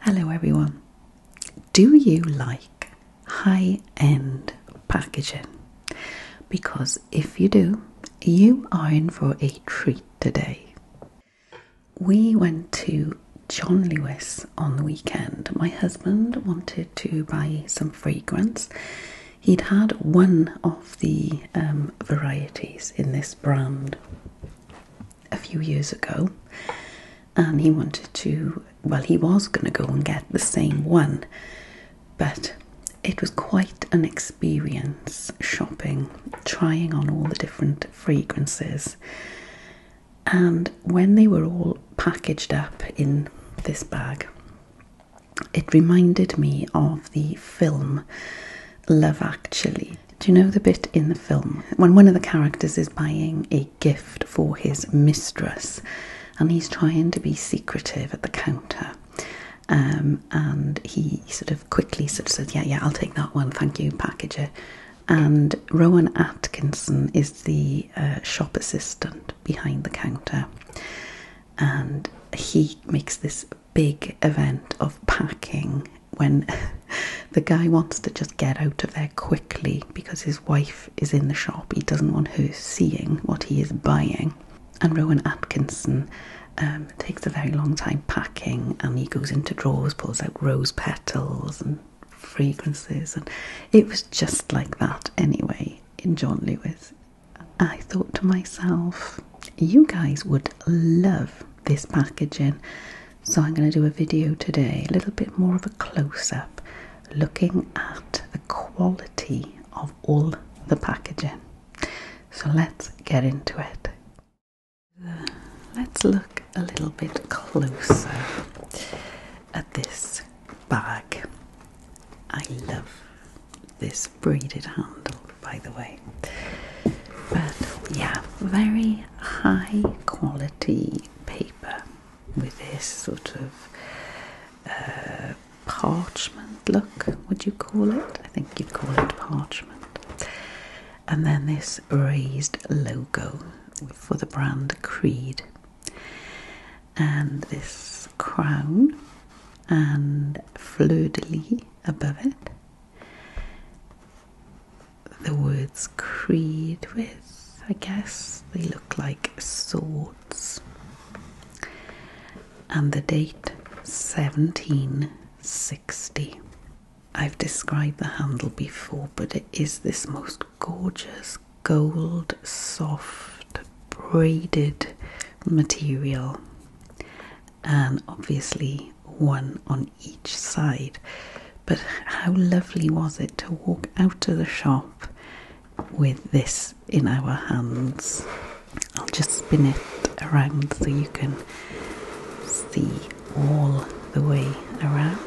Hello, everyone. Do you like high end packaging? Because if you do, you are in for a treat today. We went to John Lewis on the weekend. My husband wanted to buy some fragrance. He'd had one of the um, varieties in this brand, a few years ago, and he wanted to, well, he was going to go and get the same one, but it was quite an experience shopping, trying on all the different fragrances. And when they were all packaged up in this bag, it reminded me of the film Love Actually. Do you know the bit in the film when one of the characters is buying a gift for his mistress and he's trying to be secretive at the counter? Um, and he sort of quickly says, Yeah, yeah, I'll take that one, thank you, packager." And Rowan Atkinson is the uh, shop assistant behind the counter, and he makes this big event of packing when the guy wants to just get out of there quickly because his wife is in the shop. He doesn't want her seeing what he is buying. And Rowan Atkinson um, takes a very long time packing and he goes into drawers, pulls out rose petals and fragrances. And it was just like that anyway in John Lewis. I thought to myself, you guys would love this packaging. So I'm going to do a video today, a little bit more of a close-up, looking at the quality of all the packaging. So let's get into it. Let's look a little bit closer at this bag. I love this braided handle, by the way. But yeah, very high quality paper with this sort of uh, parchment look, would you call it? I think you'd call it parchment. And then this raised logo for the brand Creed. And this crown and fleur de lis above it the words creed with, I guess. They look like swords. And the date 1760. I've described the handle before, but it is this most gorgeous gold, soft, braided material and obviously one on each side. But how lovely was it to walk out of the shop with this in our hands? I'll just spin it around so you can see all the way around.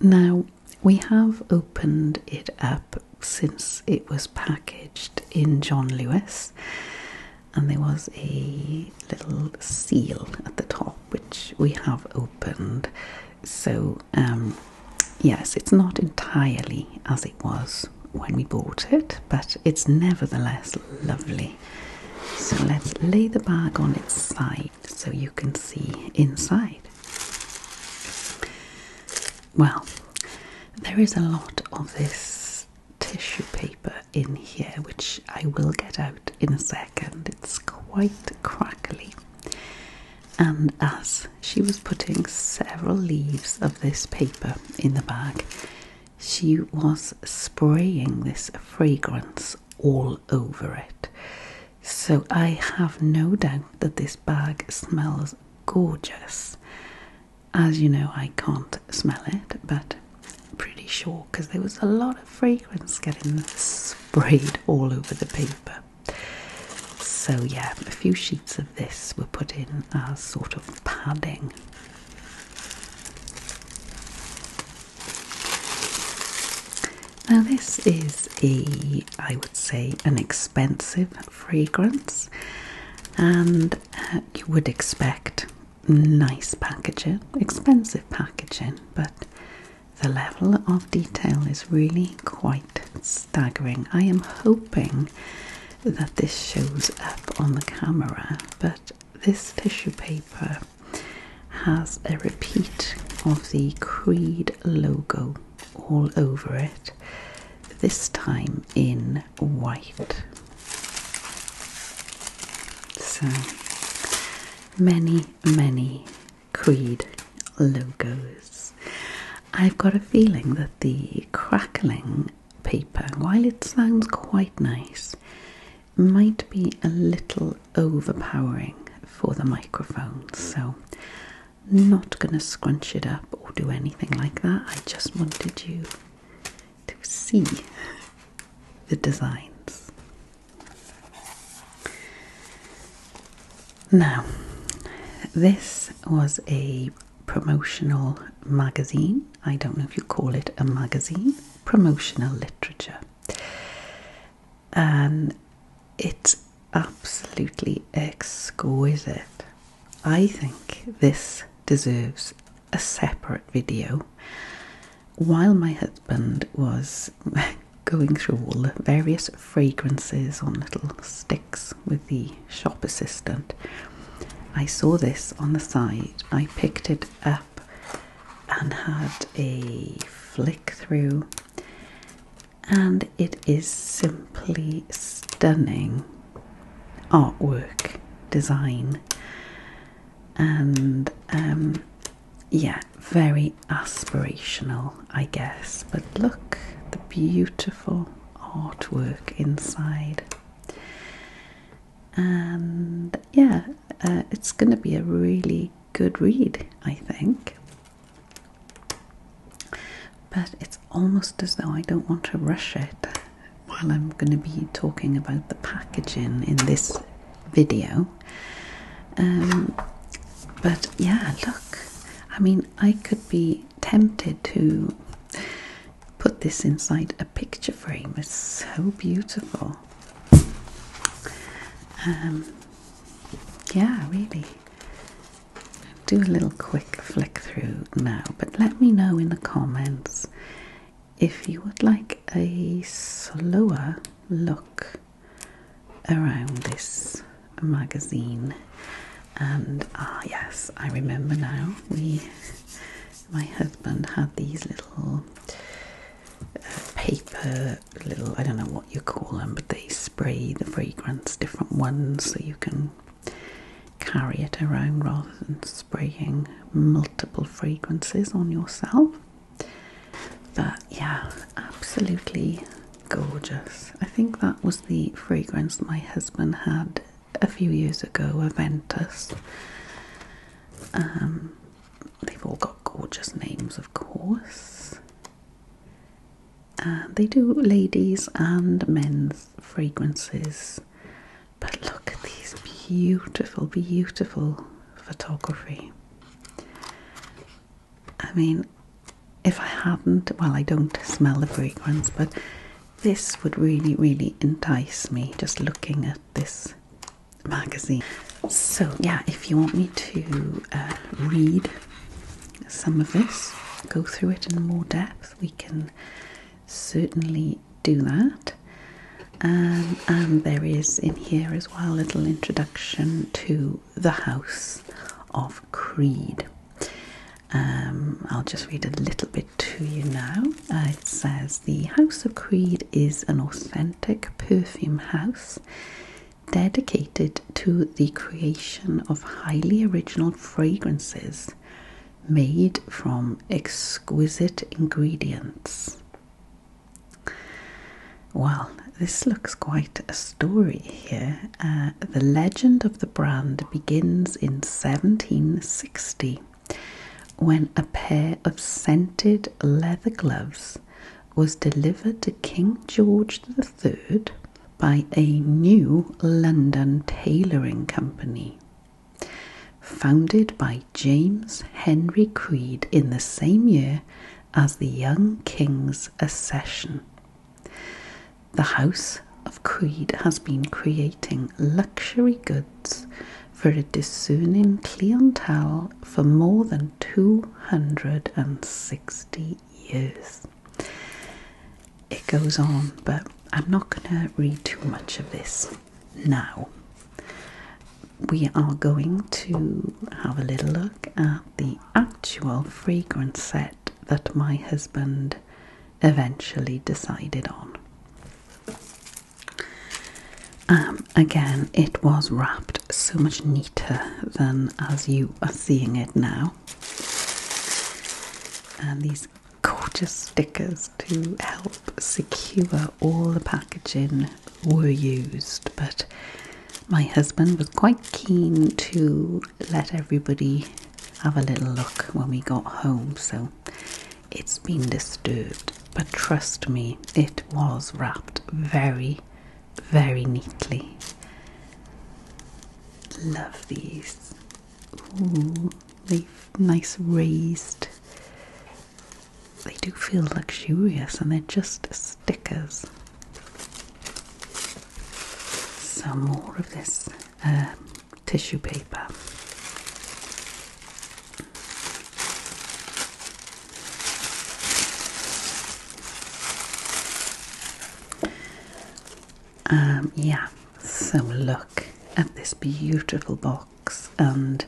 Now we have opened it up since it was packaged in John Lewis, and there was a little seal at the top which we have opened. So, um, yes, it's not entirely as it was when we bought it, but it's nevertheless lovely. So, let's lay the bag on its side so you can see inside. Well, there is a lot of this tissue paper in here, which I will get out in a second. It's quite crackly. And as she was putting several leaves of this paper in the bag, she was spraying this fragrance all over it. So I have no doubt that this bag smells gorgeous. As you know, I can't smell it, but pretty sure because there was a lot of fragrance getting sprayed all over the paper. So, yeah, a few sheets of this were put in as sort of padding. Now, this is a, I would say, an expensive fragrance, and uh, you would expect nice packaging, expensive packaging, but the level of detail is really quite staggering. I am hoping that this shows up on the camera, but this tissue paper has a repeat of the Creed logo all over it, this time in white. So many, many Creed logos. I've got a feeling that the crackling paper, while it sounds quite nice, might be a little overpowering for the microphone. So not going to scrunch it up or do anything like that. I just wanted you to see the designs. Now, this was a promotional magazine. I don't know if you call it a magazine, promotional literature. And it's absolutely exquisite. I think this deserves a separate video. While my husband was going through all the various fragrances on little sticks with the shop assistant, I saw this on the side. I picked it up and had a flick through and it is simply stunning artwork design and um, yeah, very aspirational, I guess. But look the beautiful artwork inside, and yeah, uh, it's going to be a really good read, I think. But it's almost as though I don't want to rush it while I'm going to be talking about the packaging in this video. Um, but yeah, look, I mean, I could be tempted to put this inside a picture frame, it's so beautiful. Um, yeah, really do a little quick flick through now, but let me know in the comments if you would like a slower look around this magazine. And ah, yes, I remember now. We, my husband, had these little uh, paper little, I don't know what you call them, but they spray the fragrance, different ones, so you can carry it around rather than spraying multiple fragrances on yourself. But yeah, absolutely gorgeous. I think that was the fragrance my husband had a few years ago, Aventus. Um, they've all got gorgeous names, of course. Uh, they do ladies and men's fragrances, but look at these beautiful, beautiful photography. I mean, if I hadn't, well, I don't smell the fragrance, but this would really, really entice me just looking at this magazine. So, yeah, if you want me to uh, read some of this, go through it in more depth, we can certainly do that. Um, and there is in here as well a little introduction to the House of Creed. Um, I'll just read a little bit to you now. Uh, it says The House of Creed is an authentic perfume house dedicated to the creation of highly original fragrances made from exquisite ingredients. Well, this looks quite a story here. Uh, the legend of the brand begins in 1760 when a pair of scented leather gloves was delivered to King George III by a new London tailoring company. Founded by James Henry Creed in the same year as the young king's accession. The House of Creed has been creating luxury goods for a discerning clientele for more than 260 years. It goes on, but I'm not going to read too much of this now. We are going to have a little look at the actual fragrance set that my husband eventually decided on. Um, again, it was wrapped so much neater than as you are seeing it now. And these gorgeous stickers to help secure all the packaging were used, but my husband was quite keen to let everybody have a little look when we got home, so it's been disturbed. But trust me, it was wrapped very, very neatly. Love these. they've nice raised. They do feel luxurious and they're just stickers. Some more of this um, tissue paper. Um, yeah, so look at this beautiful box, and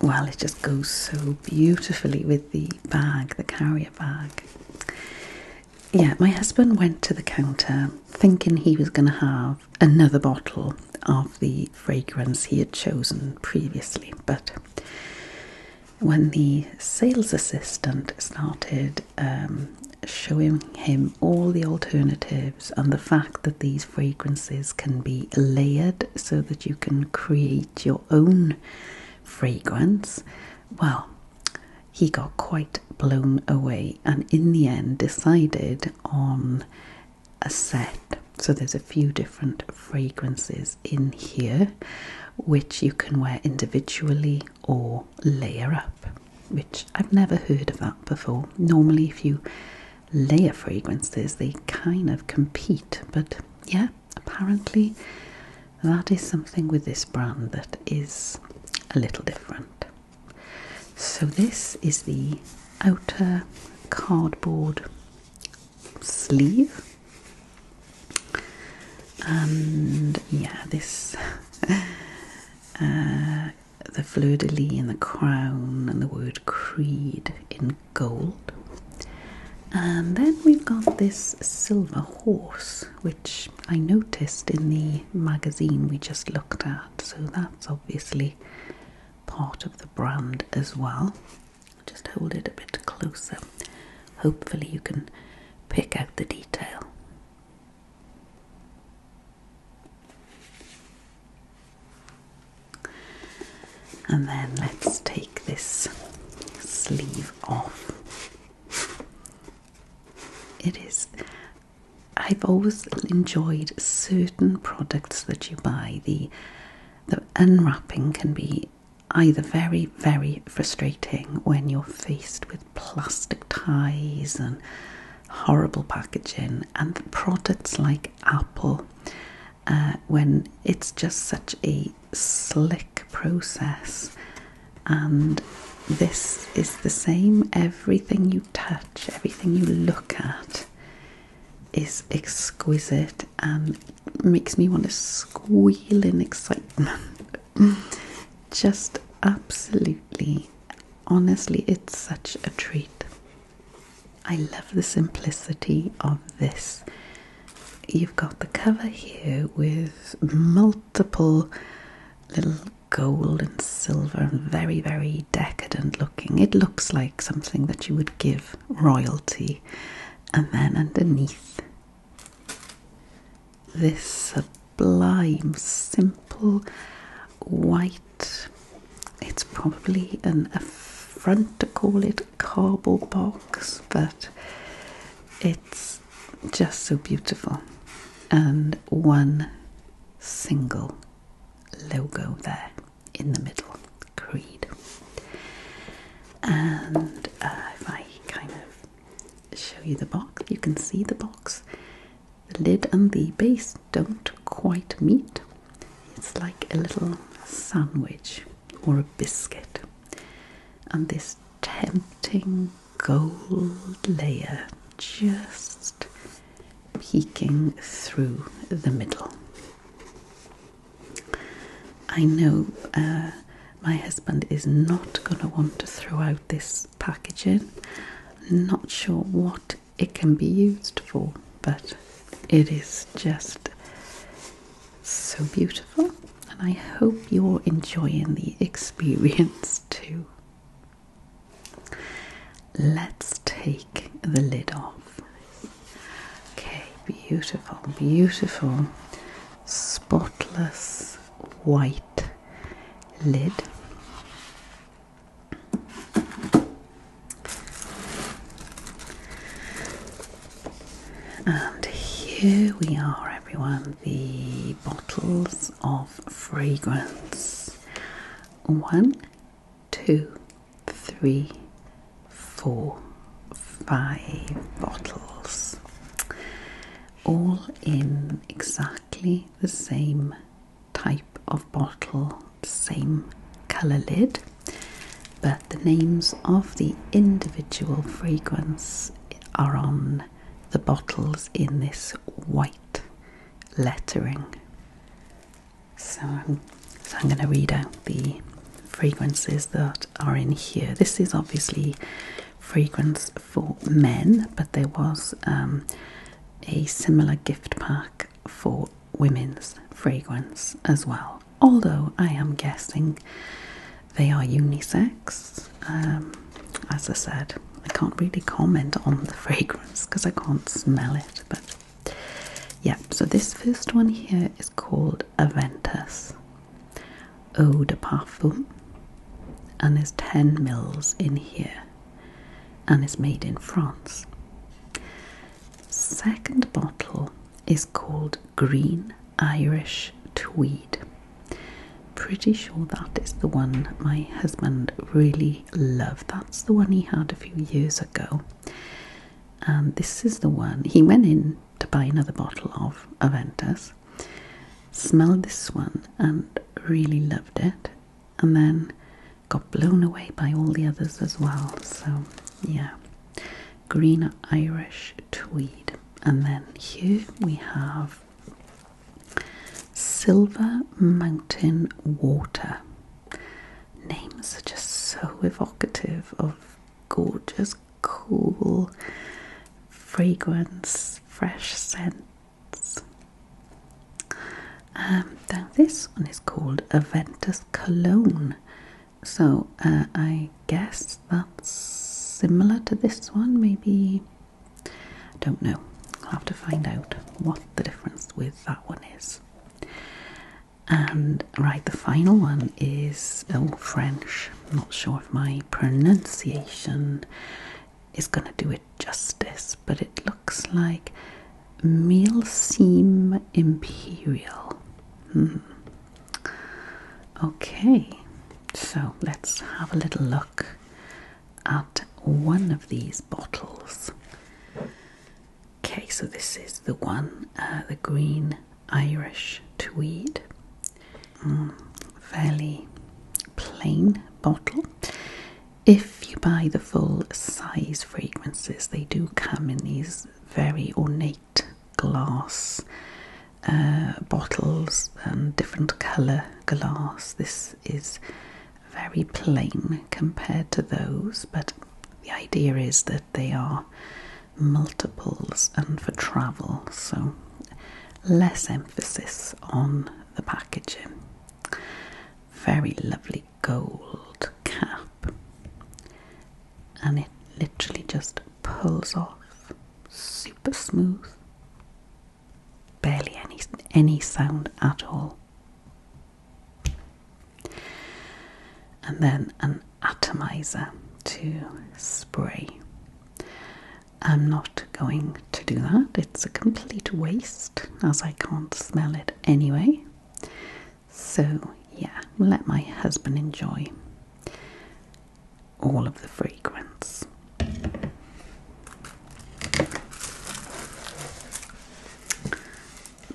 well, it just goes so beautifully with the bag, the carrier bag. Yeah, my husband went to the counter thinking he was going to have another bottle of the fragrance he had chosen previously, but when the sales assistant started um, showing him all the alternatives and the fact that these fragrances can be layered so that you can create your own fragrance, well, he got quite blown away and in the end decided on a set. So there's a few different fragrances in here which you can wear individually or layer up, which I've never heard of that before. Normally, if you layer fragrances, they kind of compete, but yeah, apparently that is something with this brand that is a little different. So, this is the outer cardboard sleeve and yeah this uh, the fleur-de-lis and the crown and the word creed in gold and then we've got this silver horse which i noticed in the magazine we just looked at so that's obviously part of the brand as well just hold it a bit closer. Hopefully, you can pick out the detail. And then let's take this sleeve off. It is, I've always enjoyed certain products that you buy, the the unwrapping can be either very, very frustrating when you're faced with plastic ties and horrible packaging, and products like Apple, uh, when it's just such a slick process, and this is the same everything you touch, everything you look at is exquisite and makes me want to squeal in excitement. Just absolutely, honestly, it's such a treat. I love the simplicity of this. You've got the cover here with multiple little gold and silver and very, very decadent looking. It looks like something that you would give royalty. And then underneath, this sublime, simple white, it's probably an affront to call it cardboard box, but it's just so beautiful. And one single logo there in the middle, Creed. And uh, if I kind of show you the box, you can see the box. The lid and the base don't quite meet. It's like a little sandwich or a biscuit. And this tempting gold layer just peeking through the middle. I know uh, my husband is not going to want to throw out this packaging. I'm not sure what it can be used for, but it is just so beautiful, and I hope you're enjoying the experience too. Let's take the lid off. Okay, beautiful, beautiful, spotless white lid. And here we are, everyone, the bottles of fragrance. One two, three, four, five bottles. All in exactly the same type of bottle, same colour lid, but the names of the individual fragrance are on the bottles in this white lettering. So I'm, going to read out the fragrances that are in here. This is obviously fragrance for men, but there was um, a similar gift pack for women's fragrance as well. Although I am guessing they are unisex. Um, as I said, I can't really comment on the fragrance because I can't smell it, but yeah, so this first one here is called Aventus Eau de Parfum and there's 10 mils in here and is made in France. Second bottle is called Green Irish Tweed. Pretty sure that is the one my husband really love. That's the one he had a few years ago. And this is the one he went in to buy another bottle of Aventus, smelled this one and really loved it, and then got blown away by all the others as well. So, yeah, green Irish tweed. And then here we have Silver Mountain Water. Names are just so evocative of gorgeous, cool fragrance, fresh scents. Um, now, this one is called Aventus Cologne, so uh, I guess that's similar to this one, maybe. I don't know. I'll have to find out what the difference with that one is. And right, the final one is old oh, French. I'm not sure if my pronunciation is going to do it justice, but it looks like Milseam Imperial. Hmm. Okay, so let's have a little look at one of these bottles. Okay, so this is the one, uh, the green Irish tweed, mm, fairly plain bottle. If you buy the full size fragrances, they do come in these very ornate glass uh, bottles and different colour glass. This is very plain compared to those, but the idea is that they are multiples and for travel, so less emphasis on the packaging. Very lovely gold cap, and it literally just pulls off super smooth barely any, any sound at all. And then an atomizer to spray. I'm not going to do that, it's a complete waste as I can't smell it anyway. So, yeah, let my husband enjoy all of the fragrance.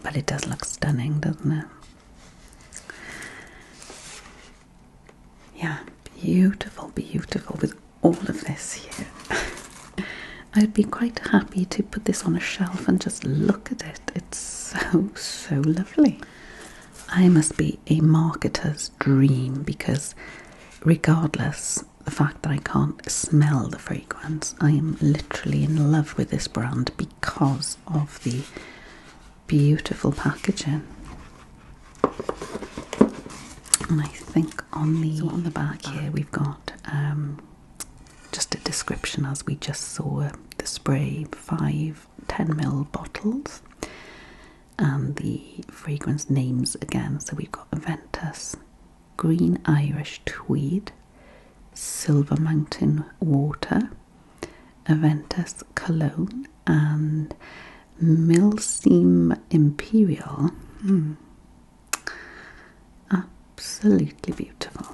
But it does look stunning, doesn't it? Yeah, beautiful, beautiful with all of this here. I'd be quite happy to put this on a shelf and just look at it. It's so, so lovely. I must be a marketer's dream because, regardless the fact that I can't smell the fragrance. I am literally in love with this brand because of the beautiful packaging. And I think on the on the back here we've got um, just a description as we just saw the spray five 10 mil bottles and the fragrance names again. So we've got Aventus, green Irish tweed, silver mountain water, Aventus cologne, and Milseam imperial. Hmm. Absolutely beautiful.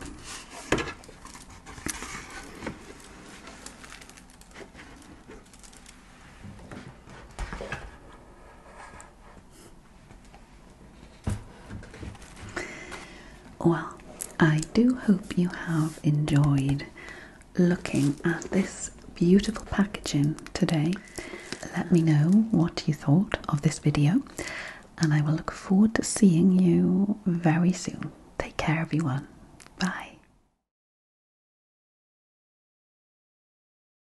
Well, I do hope you have enjoyed looking at this beautiful packaging today. Let me know what you thought of this video, and I will look forward to seeing you very soon. Take care, everyone. Bye.